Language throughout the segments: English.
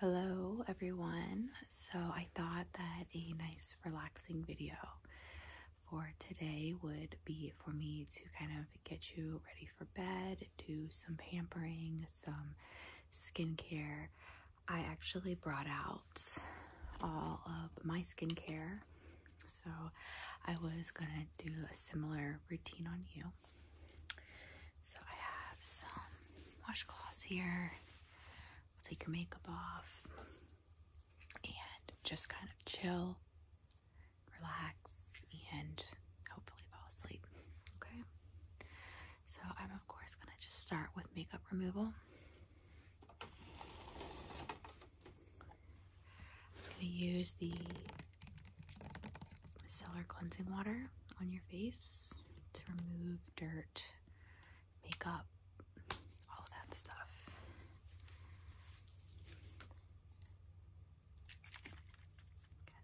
Hello everyone. So I thought that a nice relaxing video for today would be for me to kind of get you ready for bed, do some pampering, some skincare. I actually brought out all of my skincare. So I was going to do a similar routine on you. So I have some washcloths here. We'll take your makeup off and just kind of chill, relax, and hopefully fall asleep. Okay. So I'm of course gonna just start with makeup removal. I'm gonna use the micellar cleansing water on your face to remove dirt, makeup, all that stuff.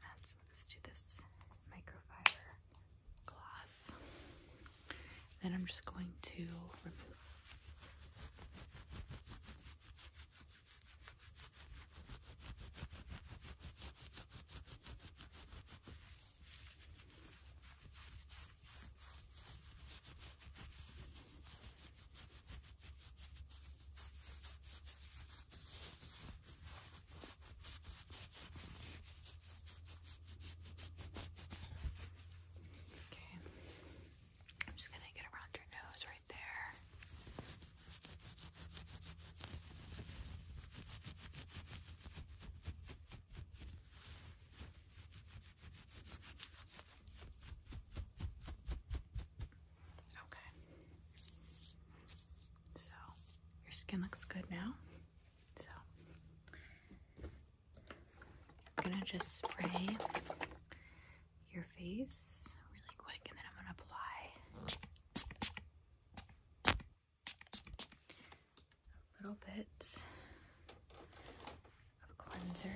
add some to this microfiber cloth. Then I'm just going to remove Okay. I'm just going to get around your nose right there. Okay. So, your skin looks good now. So, I'm going to just spray your face really quick and then I'm going to apply a little bit of cleanser.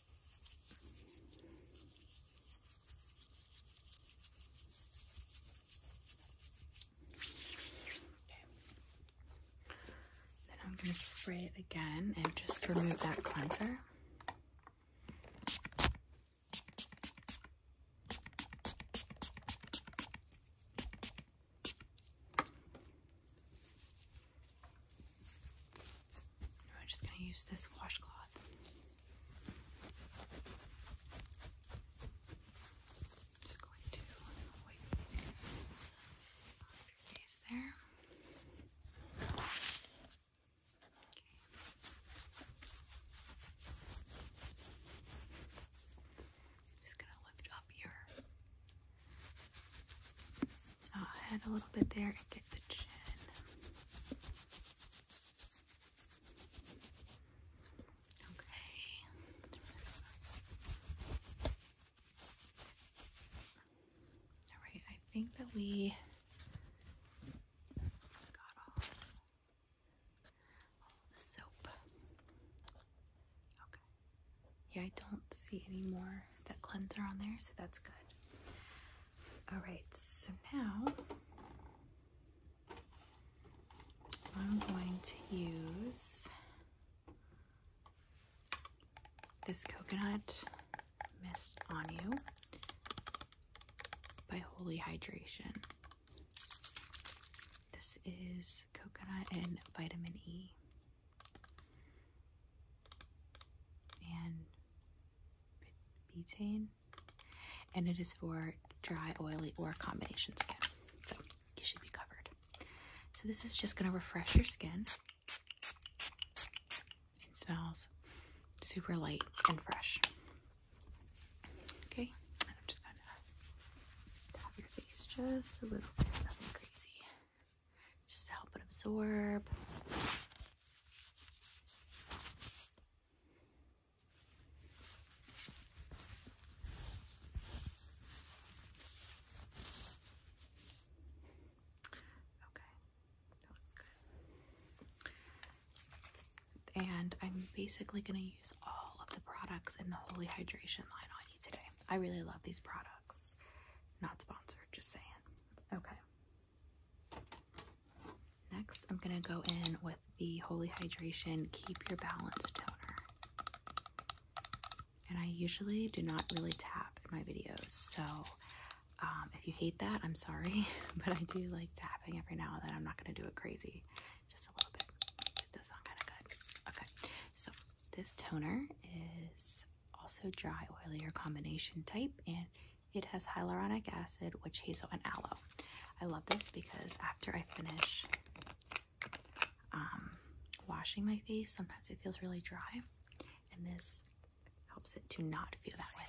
Then I'm going to spray it again and just remove that cleanser. I'm just going to use this washcloth. I'm just going to wipe your face there. Okay. Just gonna lift up your uh, head a little bit there and get the chin. Okay. All right, I think that we got all the soap. Okay. Yeah, I don't see any more that cleanser on there, so that's good. All right, so now I'm going to use this coconut mist on you by Holy Hydration. This is coconut and vitamin E and butane and it is for dry oily or combination skin so you should be covered so this is just going to refresh your skin it smells super light and fresh okay i'm just gonna tap your face just a little bit nothing crazy just to help it absorb Okay, looks good. And I'm basically going to use all of the products in the Holy Hydration line on you today. I really love these products. Not sponsored, just saying. Okay. Next, I'm going to go in with the Holy Hydration Keep Your Balance Toner. And I usually do not really tap in my videos, so um, if you hate that, I'm sorry, but I do like tapping every now and then. I'm not going to do it crazy, just a little bit. It does kind of good. Okay, so this toner is also dry, oilier, combination type, and it has hyaluronic acid, witch hazel, and aloe. I love this because after I finish um, washing my face, sometimes it feels really dry, and this helps it to not feel that way.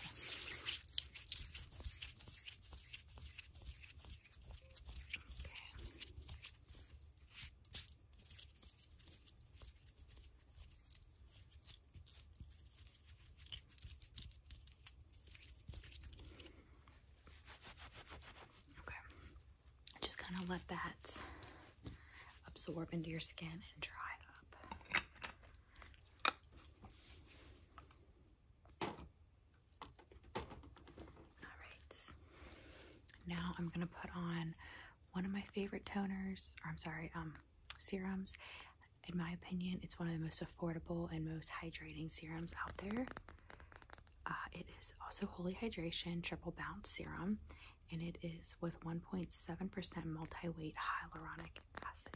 Okay. Just kind of let that absorb into your skin and dry up. All right. Now I'm going to put on one of my favorite toners, or I'm sorry, um serums. In my opinion, it's one of the most affordable and most hydrating serums out there. Uh, it is also Holy Hydration Triple Bounce Serum, and it is with 1.7% multi weight hyaluronic acid.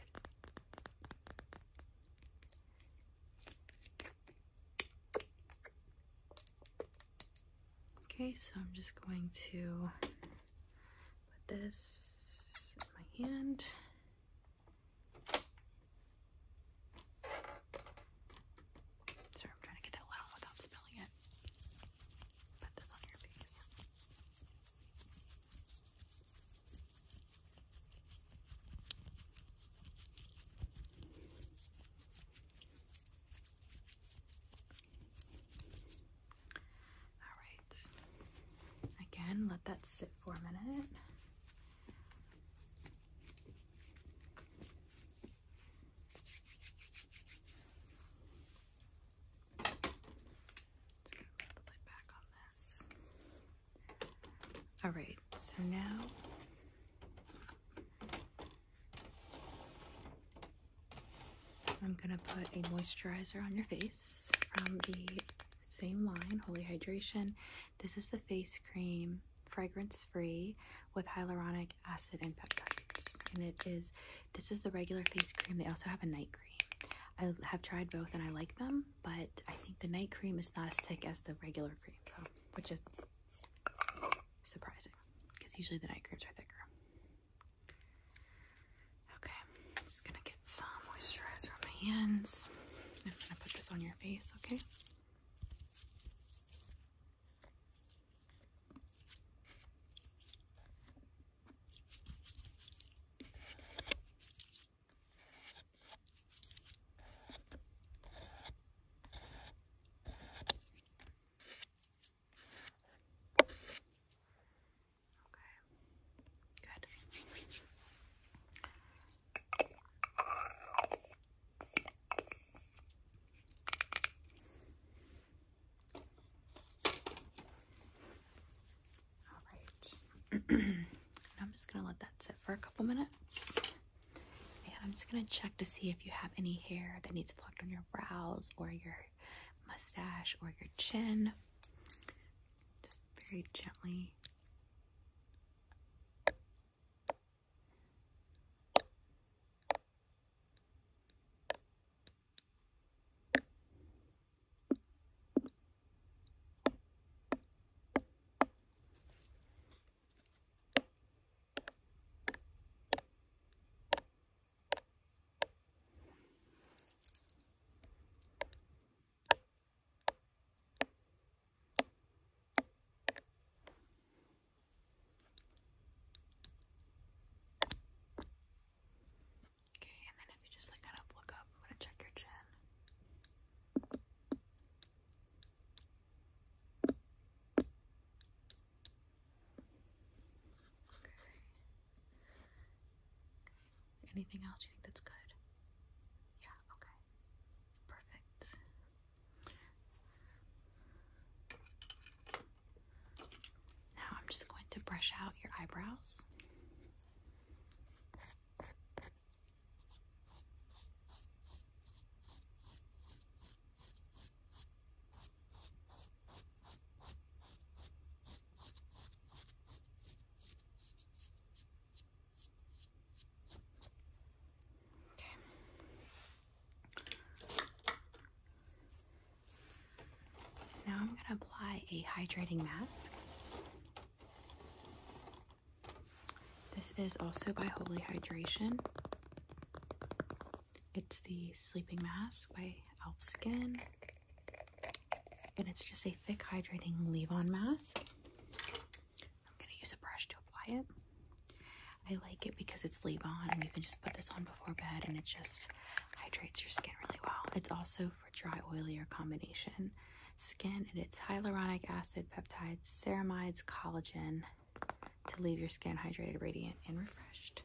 Okay, so I'm just going to put this in my hand. Sorry, I'm trying to get that loud without spilling it. Put this on your face. All right. Again, let that sit for a minute. Just gonna put the lid back on this. All right. So now I'm gonna put a moisturizer on your face from the same line, Holy Hydration. This is the face cream, fragrance free, with hyaluronic acid and peptides. And it is, this is the regular face cream. They also have a night cream. I have tried both and I like them, but I think the night cream is not as thick as the regular cream, which is surprising because usually the night creams are thicker. Okay, I'm just gonna get some moisturizer on my hands. I'm gonna put this on your face, okay? Okay. Good. All right. I'm just going to let that sit for a couple minutes. And I'm just going to check to see if you have any hair that needs plucked on your brows or your mustache or your chin. Just very gently. Okay, and then if you just like kind of look up, I'm gonna check your chin. Okay. Anything else you think that's good? Yeah, okay. Perfect. Now I'm just going to brush out your eyebrows. Okay. Now I'm going to apply a hydrating mask. This is also by Holy Hydration. It's the Sleeping Mask by e.l.f. Skin. And it's just a thick hydrating leave-on mask. I'm going to use a brush to apply it. I like it because it's leave-on and you can just put this on before bed and it just hydrates your skin really well. It's also for dry, oily, or combination skin and it's hyaluronic acid, peptides, ceramides, collagen, to leave your skin hydrated, radiant, and refreshed.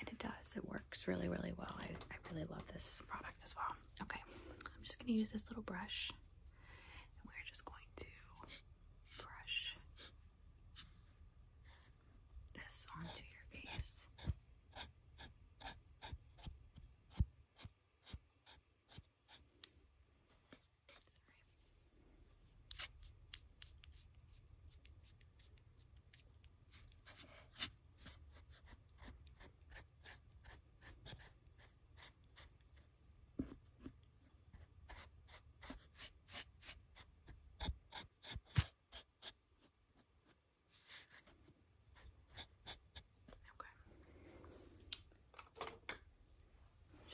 And it does, it works really, really well. I, I really love this product as well. Okay, I'm just gonna use this little brush and we're just going to brush this onto your face. Okay.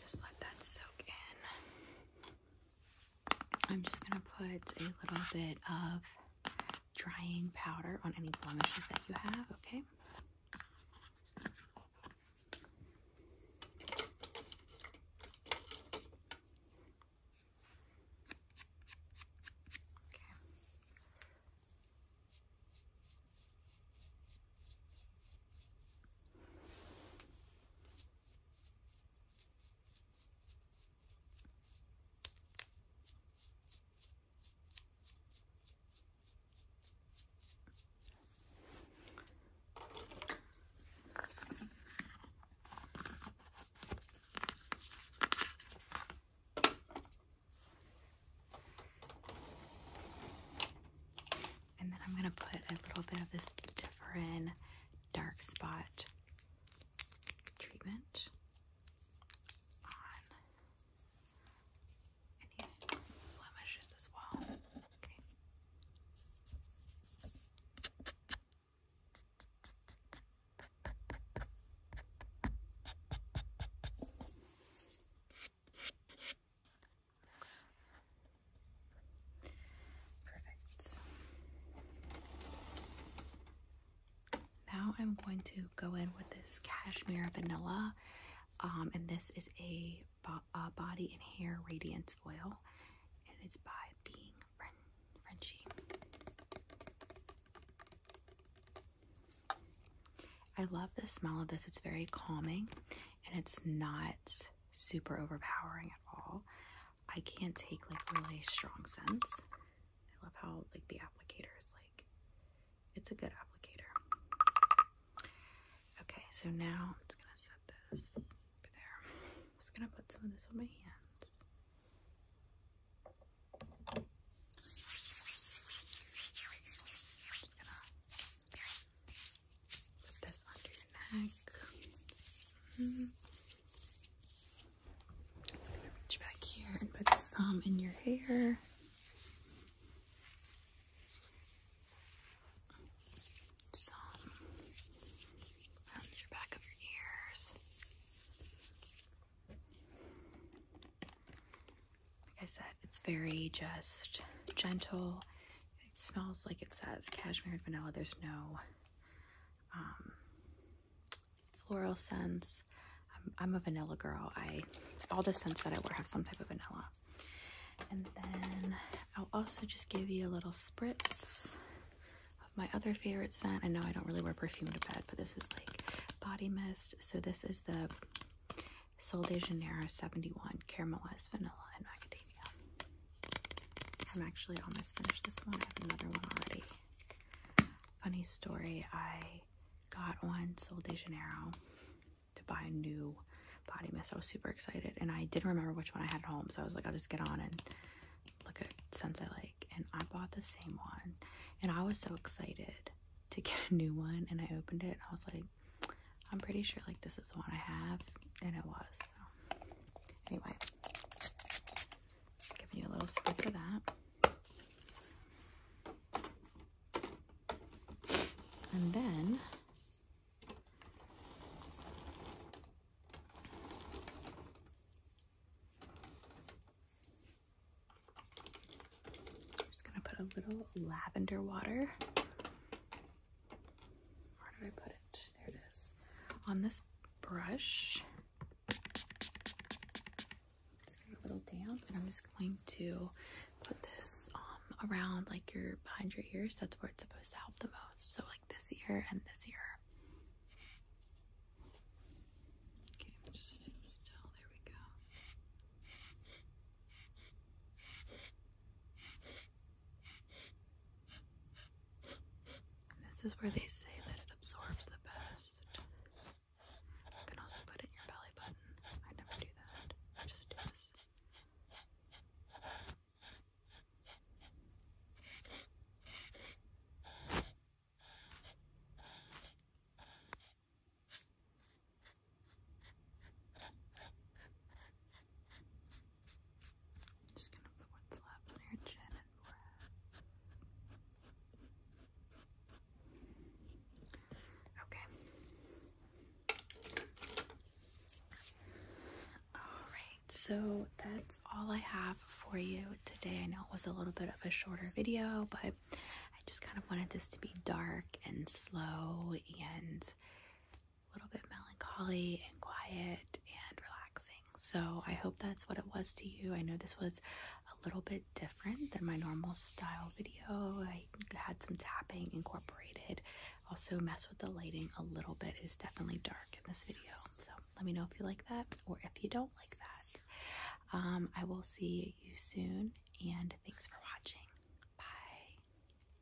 Just let that soak in. I'm just going to put a little bit of drying powder on any blemishes that you have, okay? And then I'm going to put a little bit of this different dark spot treatment on blemishes as well. Okay. Perfect. Now I'm going to go in with this cashmere vanilla, um, and this is a, uh, body and hair radiance oil, and it's by Being Frenchy. I love the smell of this. It's very calming, and it's not super overpowering at all. I can't take like really strong scents. I love how like the applicator is like, it's a good applicator. Okay, so now I'm just gonna set this over there. I'm just gonna put some of this on my hands. Put this under your neck. just mm-hmm. gonna reach back here and put some in your hair. Some around your back of your ears. Like I said, it's very just gentle it smells like it says cashmere and vanilla. There's no um, floral scents. I'm, a vanilla girl. I all the scents that I wear have some type of vanilla. And then I'll also just give you a little spritz of my other favorite scent. I know I don't really wear perfume to bed, but this is like body mist. So this is the Sol de Janeiro 71 Caramelized Vanilla and Macadamia. I'm actually almost finished this one. I have another one already. Funny story, I got on Sol de Janeiro to buy a new body mist. I was super excited and I didn't remember which one I had at home. So I was like, I'll just get on and look at scents I like. And I bought the same one and I was so excited to get a new one. And I opened it and I was like, I'm pretty sure like this is the one I have. And it was anyway, giving you a little spritz of that. And then I'm just gonna put a little lavender water where did I put it? There it is. On this brush, it's a little damp, and I'm just going to put this um, around like your behind your ears. That's where it's supposed to help the most. So like this ear and this ear. Okay, just still. There we go this is where they say that it absorbs the best. You can also put it in your belly button. I never do that. just do this just gonna put what's left on your chin and forehead. Okay. Alright, so that's all I have for you today. I know it was a little bit of a shorter video, but I just kind of wanted this to be dark and slow and a little bit melancholy and quiet and relaxing. So I hope that's what it was to you. I know this was a little bit different than my normal style video. I had some tapping incorporated. Also mess with the lighting a little bit. It's definitely dark in this video. So let me know if you like that or if you don't like that. Um, I will see you soon and thanks for watching. Bye.